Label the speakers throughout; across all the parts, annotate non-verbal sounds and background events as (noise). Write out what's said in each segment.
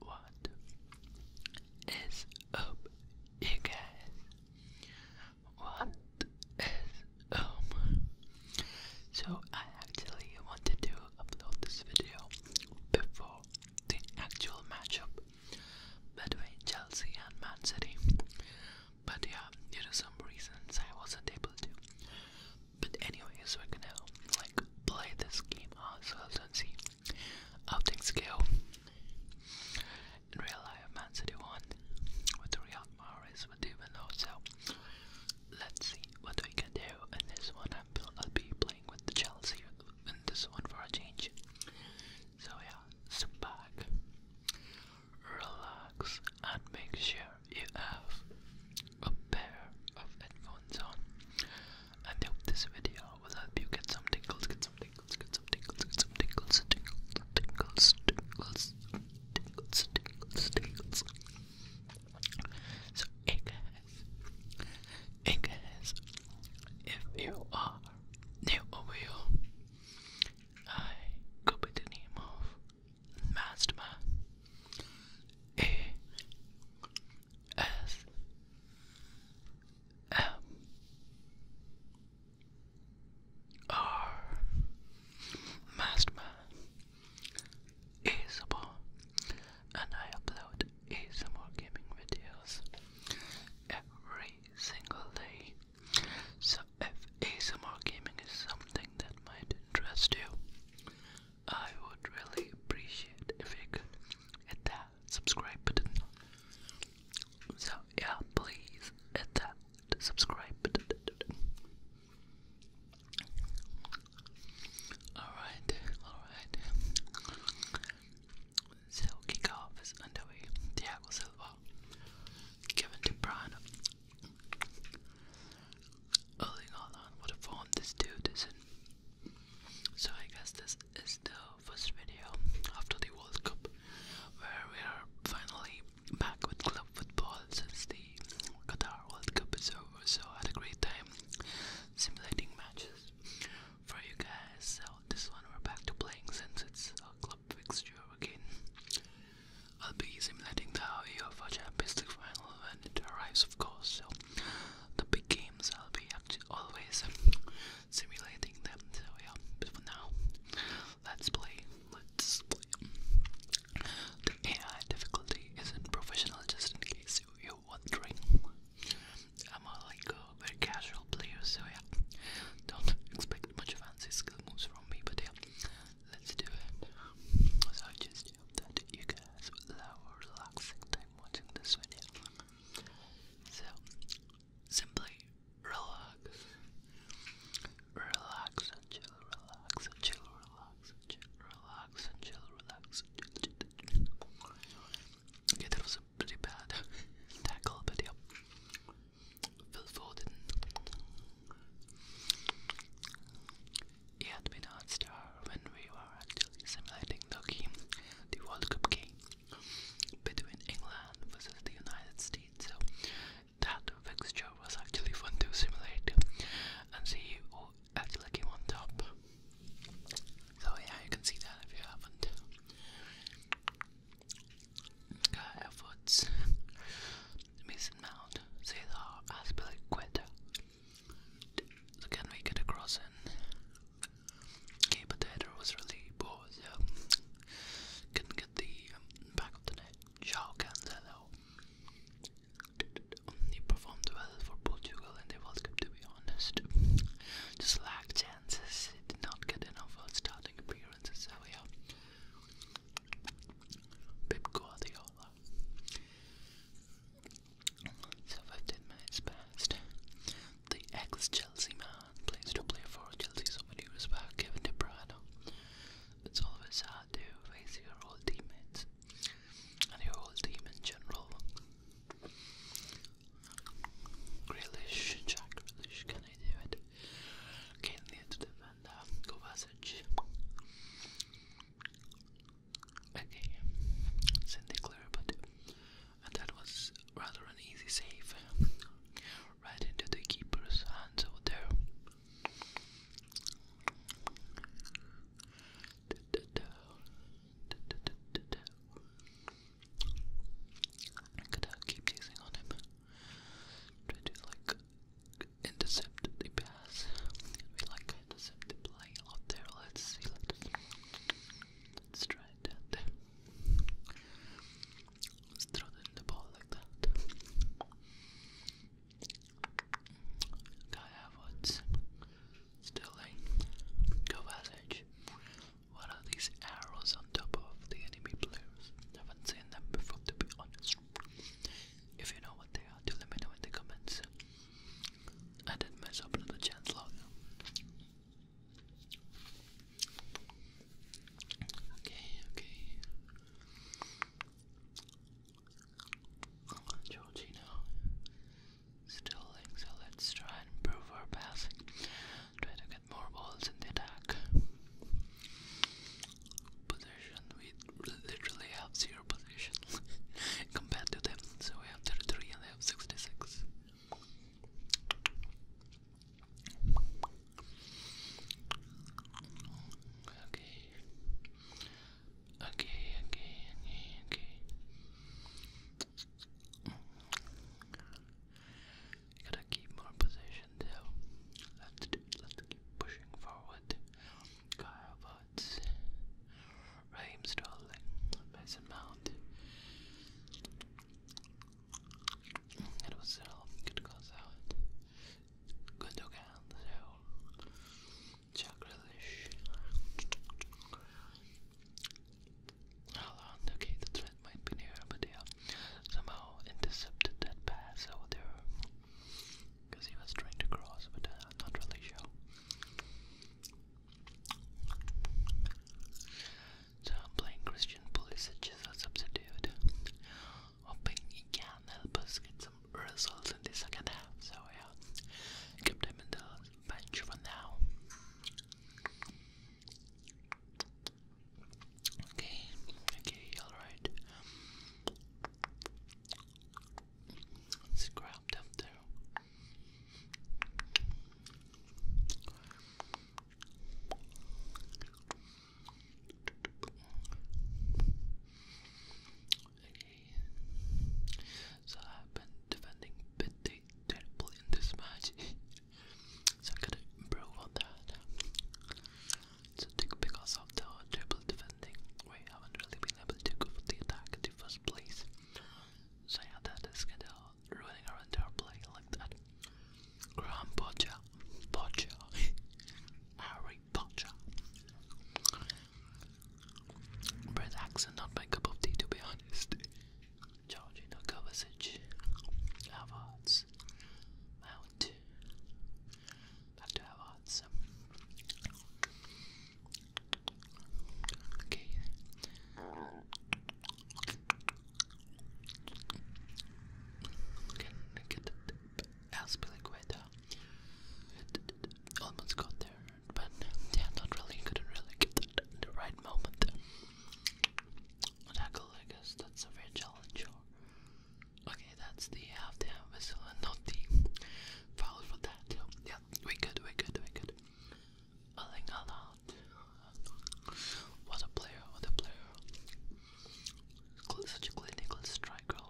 Speaker 1: What is up, you guys? What is up? So, I actually wanted to upload this video before the actual matchup between Chelsea and Man City, but yeah, due to some reasons, I wasn't able to. But anyways, we're gonna like play this game ourselves and see how things go. In real life, Man City won with Riyad Mahrez with Divino, so let's see what we can do in this one. I'll be playing with the Chelsea in this one for a change. So yeah, sit back, relax, and make sure you have a pair of headphones on. And I hope this video will help you get some tingles, get some tingles, get some tingles, get some tingles, tingles, tingles, tingles, tingles, tingles. So, hey guys, hey guys, if you are new over here, I go by the name of Mazda A S M R Mazda Isabel and I upload ASMR gaming videos every single day. So if ASMR gaming is something that might interest you, I would really appreciate if you could hit that subscribe button. So, yeah, please hit that subscribe button. Alright, alright. So, kickoff is underway. Thiago Silva, Kevin De Bruyne, Oh, Early on, what a form this dude is So, I guess this is the first video after the World Cup where we are finally back with club football since the Qatar World Cup is over. So, I had a great time simulating matches for you guys. So, this one we're back to playing since it's a club fixture again. I'll be simulating the audio UEFA Champions League final when it arrives, of course. So, the big games I'll be actually always simulating them. So yeah, but for now, let's play. Let's play. The AI difficulty isn't professional, just in case you, you're wondering. I'm a, like a very casual player, so yeah, don't expect much fancy skill moves from me. But yeah, let's do it. So just you guys so, simply relax. Relax and chill, relax and chill, relax and chill, relax and chill, relax Okay, that was a pretty bad (laughs) tackle video. Phil Foden. It had been our star when we were actually simulating the game, the World Cup game between England versus the United States. So that fixture was actually fun to simulate and see who actually on top. So yeah, you can see that if you haven't. Guy Mason Mount, Cesar Aspilicueta, so can we get across in? Okay, but was really poor, so couldn't get the um, back of the net. João Cancelo. He performed well for Portugal in the World Cup, to be honest. Just lacked chances. did not get enough starting appearances. So yeah, Pep Guardiola. So minutes passed. The ex-Chelsea man plays to play for Chelsea, so many respect given to Brano. It's always hard to face your old teammates and your old team in general. Grealish, Jack Grealish, can I do it? Kane near to defender, uh, Kovacic. Okay, Cindy clear, but uh, that was rather an easy save. Right into the keeper's hands over there. gotta keep chasing on him. Try to like intercept the because we like fantasy to play out there. Let's see, let's, try that. Let's throw it in the ball like that. Guy Abbott, Stilling, Kovacic. What are these arrows on top of the enemy players? Haven't seen them before, to be honest. If you know what they are, do let me know in the comments. I didn't mess up another chance Okay, okay. Georgino still thinks let's try and improve our passing. Try to get more balls in the attack. Position we literally have 0 zero (laughs) compared to them. So we have 33 and they have 66. Okay. Okay, okay, okay, gotta keep more position though. Let's do let's keep pushing forward. Dodds, Raheem Sterling, Mason Mount. It was still uh, good goals out. Gundogan, so Jack Relish. okay, the threat might be near, but yeah, somehow intercepted that pass over there. Because he was trying to cross, but not really sure. So I'm playing Christian Pulisic as a substitute, hoping he can help us get some results in the second half. So yeah, kept him in the bench for now. Okay, okay, alright. Scrub them too. So I've been defending pretty terrible in this match. (laughs) so I gotta improve on that. So because of the terrible defending, we haven't really been able to go for the attack in first place. So yeah, that is kind of ruining our entire play like that. Graham Potter, (laughs) Harry Potter. British accent, not my cup of tea to be honest. Georgina Kovacic, Havertz, Mount, back to Havertz. Okay. Can get the tip? I'll Almost got there, but yeah, not really. Couldn't really get the, right moment. Tackle, I guess that's a fair challenge. Okay, that's the half the whistle and not the foul for that. Yeah, we good, we good, we good. Erling Haaland. What a player, what a player. Such a clinical striker.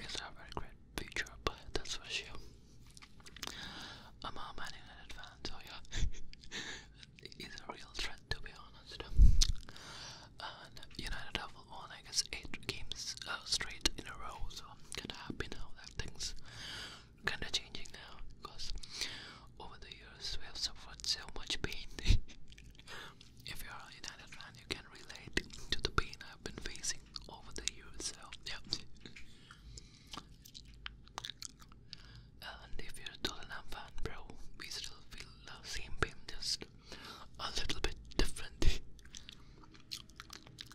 Speaker 1: He's a very great future player, that's for sure. I'm a United fan, so yeah. (laughs) He's a real threat, to be honest. And United have won, I guess, 8 games uh, straight in a row, so I'm kinda happy now things kind of changing now because over the years we have suffered so much pain. (laughs) if you are a United fan, you can relate to the pain I've been facing over the years. So yeah. And if you're a Tottenham fan, bro, we still feel the same pain, just a little bit different. (laughs)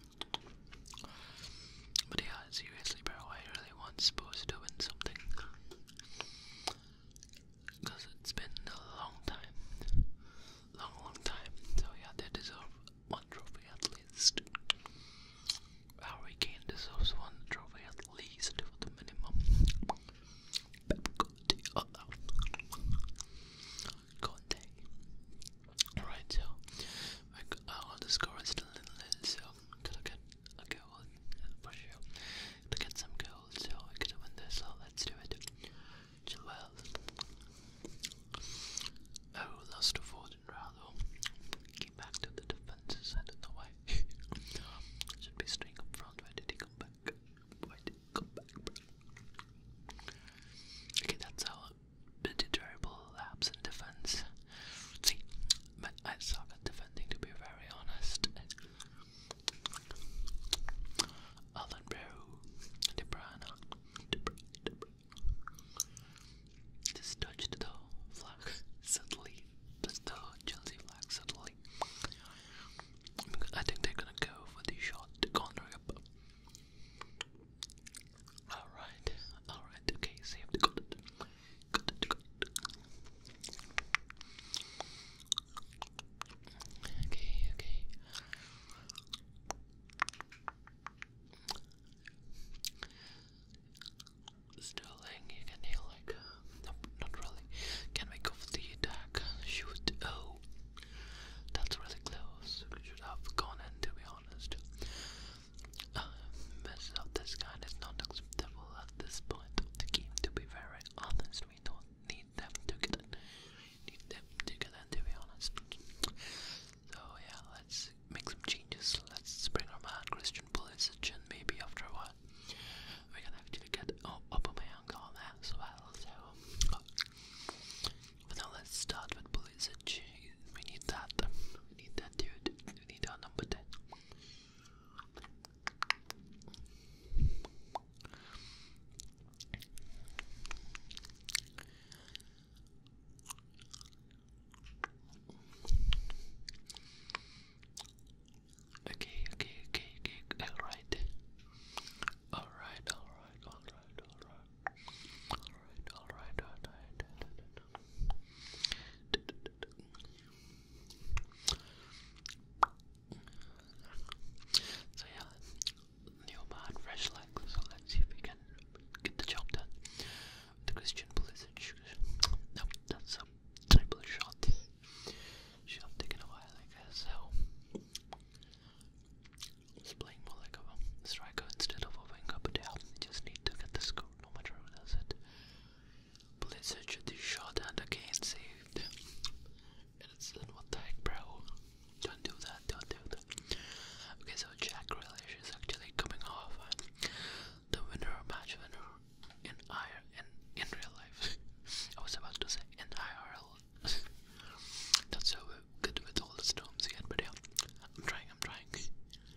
Speaker 1: But yeah, seriously, bro, I really want supposed to win something. Because it's been a long time. Long, long time. So yeah, they deserve one trophy at least. Harry Kane deserves one trophy at least for the minimum. Conte. Alright, so all the score a little little, so to get a goal uh, for sure. To get some goals, so I could win this, so let's do it. Chilwell. Oh, lost to Foden Rallo. Came back to the defenses, I don't know why. (laughs) Should be staying up front, why did he come back? Why did he come back, Okay, that's all terrible laps in defense. See, but I suck at defending to be very honest. Alan Brew, De Bruyne, De Bruyne, De Bruyne. Just touched the flag suddenly. That's the Chelsea flag suddenly. I think they're gonna go for the shot, the corner up. Alright, alright, okay, saved. Got it. Got it, got it. Okay, okay. Sterling, you can heal like. Nope, not really. Can we go for the attack? Shoot. Oh. That's really close. should have gone in, to be honest. Uh, mess of this kind is not acceptable at this point To be very honest, we don't need them to get it. Need them to get it. To be honest. So yeah, let's make some changes. Let's bring our man Christian Pulisic in maybe after a while. We are gonna actually get up on my that as well. So, but now let's start with Pulisic we need that. We need that dude. We need our number ten. Okay, okay, okay, okay. All right, all right, all right, all right, Alright, alright, alright. So yeah, new man, fresh legs, so let's see if we can get the job done. The Christian Pulisic, no, that's a triple shot. Should have taken a while, I guess, so... He's playing more like a striker instead of a winger, but yeah, you just need to get the score no matter who does it. Blizzard should be shot and again saved. And it's then what the heck, bro? Don't do that, don't do that. Okay, so Jack Relish is actually coming off the winner, match winner in IR in, in real life. (laughs) I was about to say in IRL. (laughs) That's so good with all the storms yet, but yeah, I'm trying, I'm trying.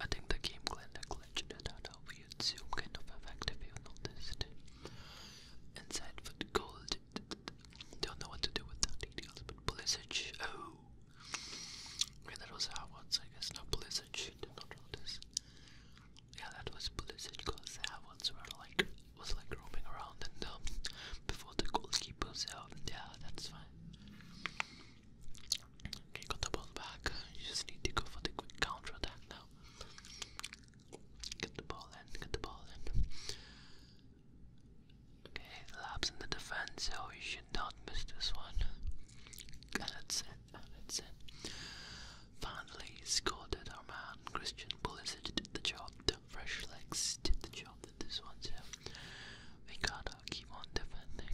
Speaker 1: I think the game glitched it out of you zoom kind of effect if you noticed. Inside for the gold. Don't know what to do with that details, but Blizzard. Oh! Okay, that was Howard's, I guess. No, Blizzard did not notice. Yeah, that was Blizzard because Howard's were like, was like roaming around and um, before the goalkeepers out. Yeah, that's fine. You got the ball back. You just need to go for the quick counter attack now. Get the ball in, get the ball in. Okay, laps in the defense, so you should not miss this one. And it, and that's it. Finally, scored it, our man Christian Pulisic did the job. fresh legs did the job in this one, we got uh, keep on defending.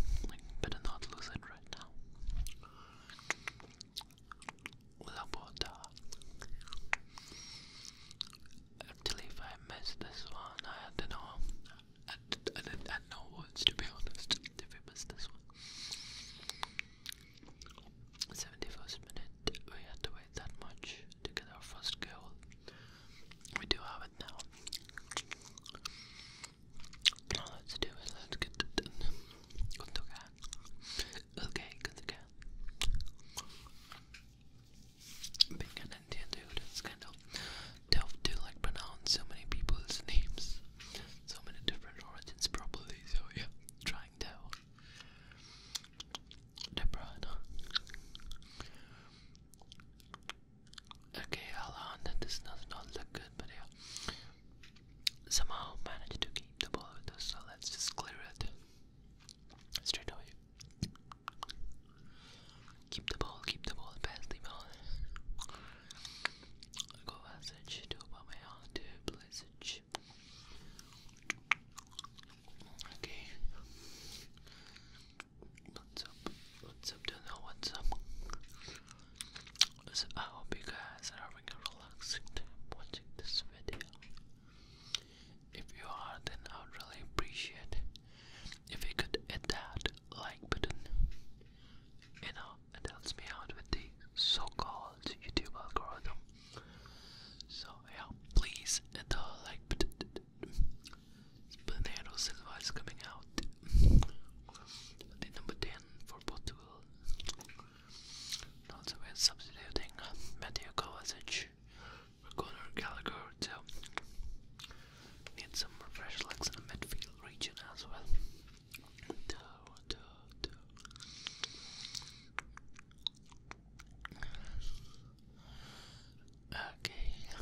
Speaker 1: better not lose it right now. Labota. Uh, actually, if I miss this one, I don't know. I, I, I, know words to be honest. If we miss this one, seventy-first minute. We had to wait that much to get our first goal. We do have it now let's do is let's get it okay. good okay. Being an Indian dude, it's kind of tough to like pronounce so many people's names, so many different origins probably. So yeah, trying to. Deborah, Okay, hold on, This does not, look good, but yeah. Somehow managed to keep the ball with us, so let's just clear it straight away. Keep the ball, keep the ball, pass the ball. Go Vasage to Obama to Blazage. Okay. What's up? What's up? do know what's up. So I hope you guys are having a relaxing time watching this video. If you are, then I would really appreciate if you could hit that like button. You know, it helps me out with the so-called YouTube algorithm. So yeah, please hit the like button. Pinheiro Silva is coming out. the number 10 for Portugal. And also we're substituting Matthew Kovacic for Conor Gallagher, so need some fresh legs in the midfield region as well. Okay.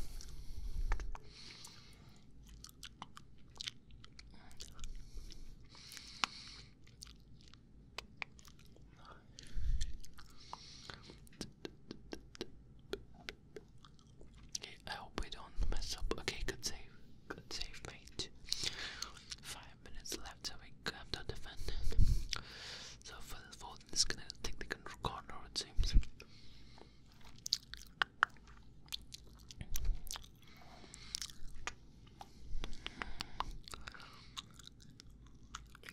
Speaker 1: Okay, I hope we don't mess up. Okay, good save. Good save, mate. Five minutes left so we have to defend. So for the fourth, this gonna take the corner, it seems. Okay.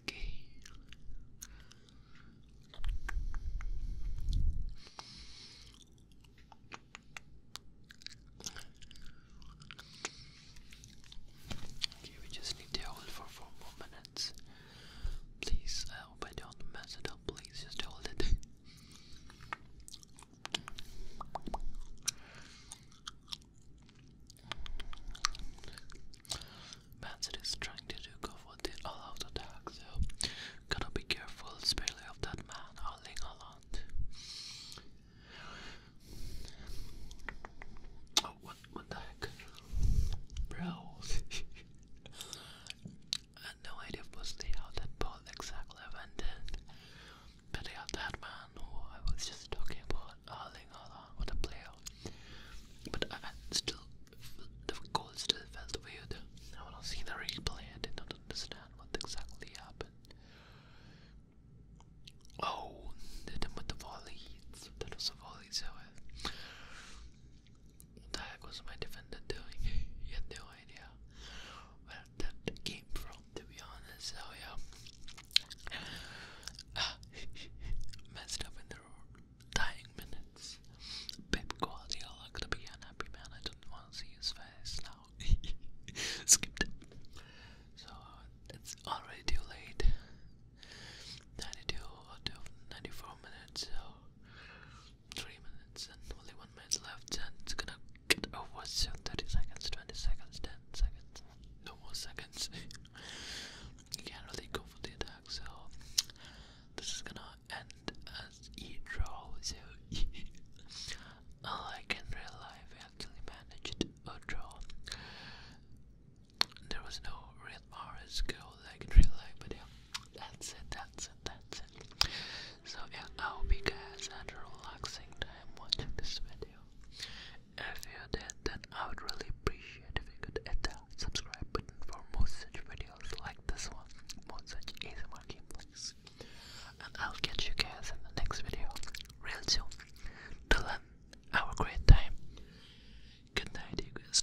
Speaker 1: Okay, we just need to hold for four more minutes. Please, I hope don't mess it up. Please just hold it. (laughs) Manson is trying to do go for the all-out attack, so gotta be careful, especially of that man howling a lot. Oh, what the heck? Bro. (laughs) I had no idea firstly how that ball exactly went But yeah, that man who I was just talking about, Erling Haaland, what player. But I, still, the goal still felt weird. I want to see the replay, I did not understand what exactly happened. Oh, they did with the volley. That was a volley, so uh, what the heck was my defender doing? you had no idea where that came from, to be honest. So, yeah. (laughs) Messed up in the dying minutes. Pep Guardiola could be an happy man. I don't want to see his face now. (laughs) Skipped. So it's already too late. 92 minutes. So Three minutes and only one minute left, and it's gonna get over soon. Thirty seconds, twenty seconds, ten seconds, no more seconds. (laughs) you can't really go for the attack, so this is gonna end as e draw. So (laughs) all I real life I actually managed a draw. There was no real Mars goal like in real life, but yeah. That's it, that's it, that's it. So yeah, I hope you guys had a relaxing time watching this video. If you did, then I would really appreciate if you could hit that subscribe button for more such videos like this one, more such easy ASMR gameplays. And I'll catch you guys in the next video real soon. Till then, have a great time. Good night, you guys.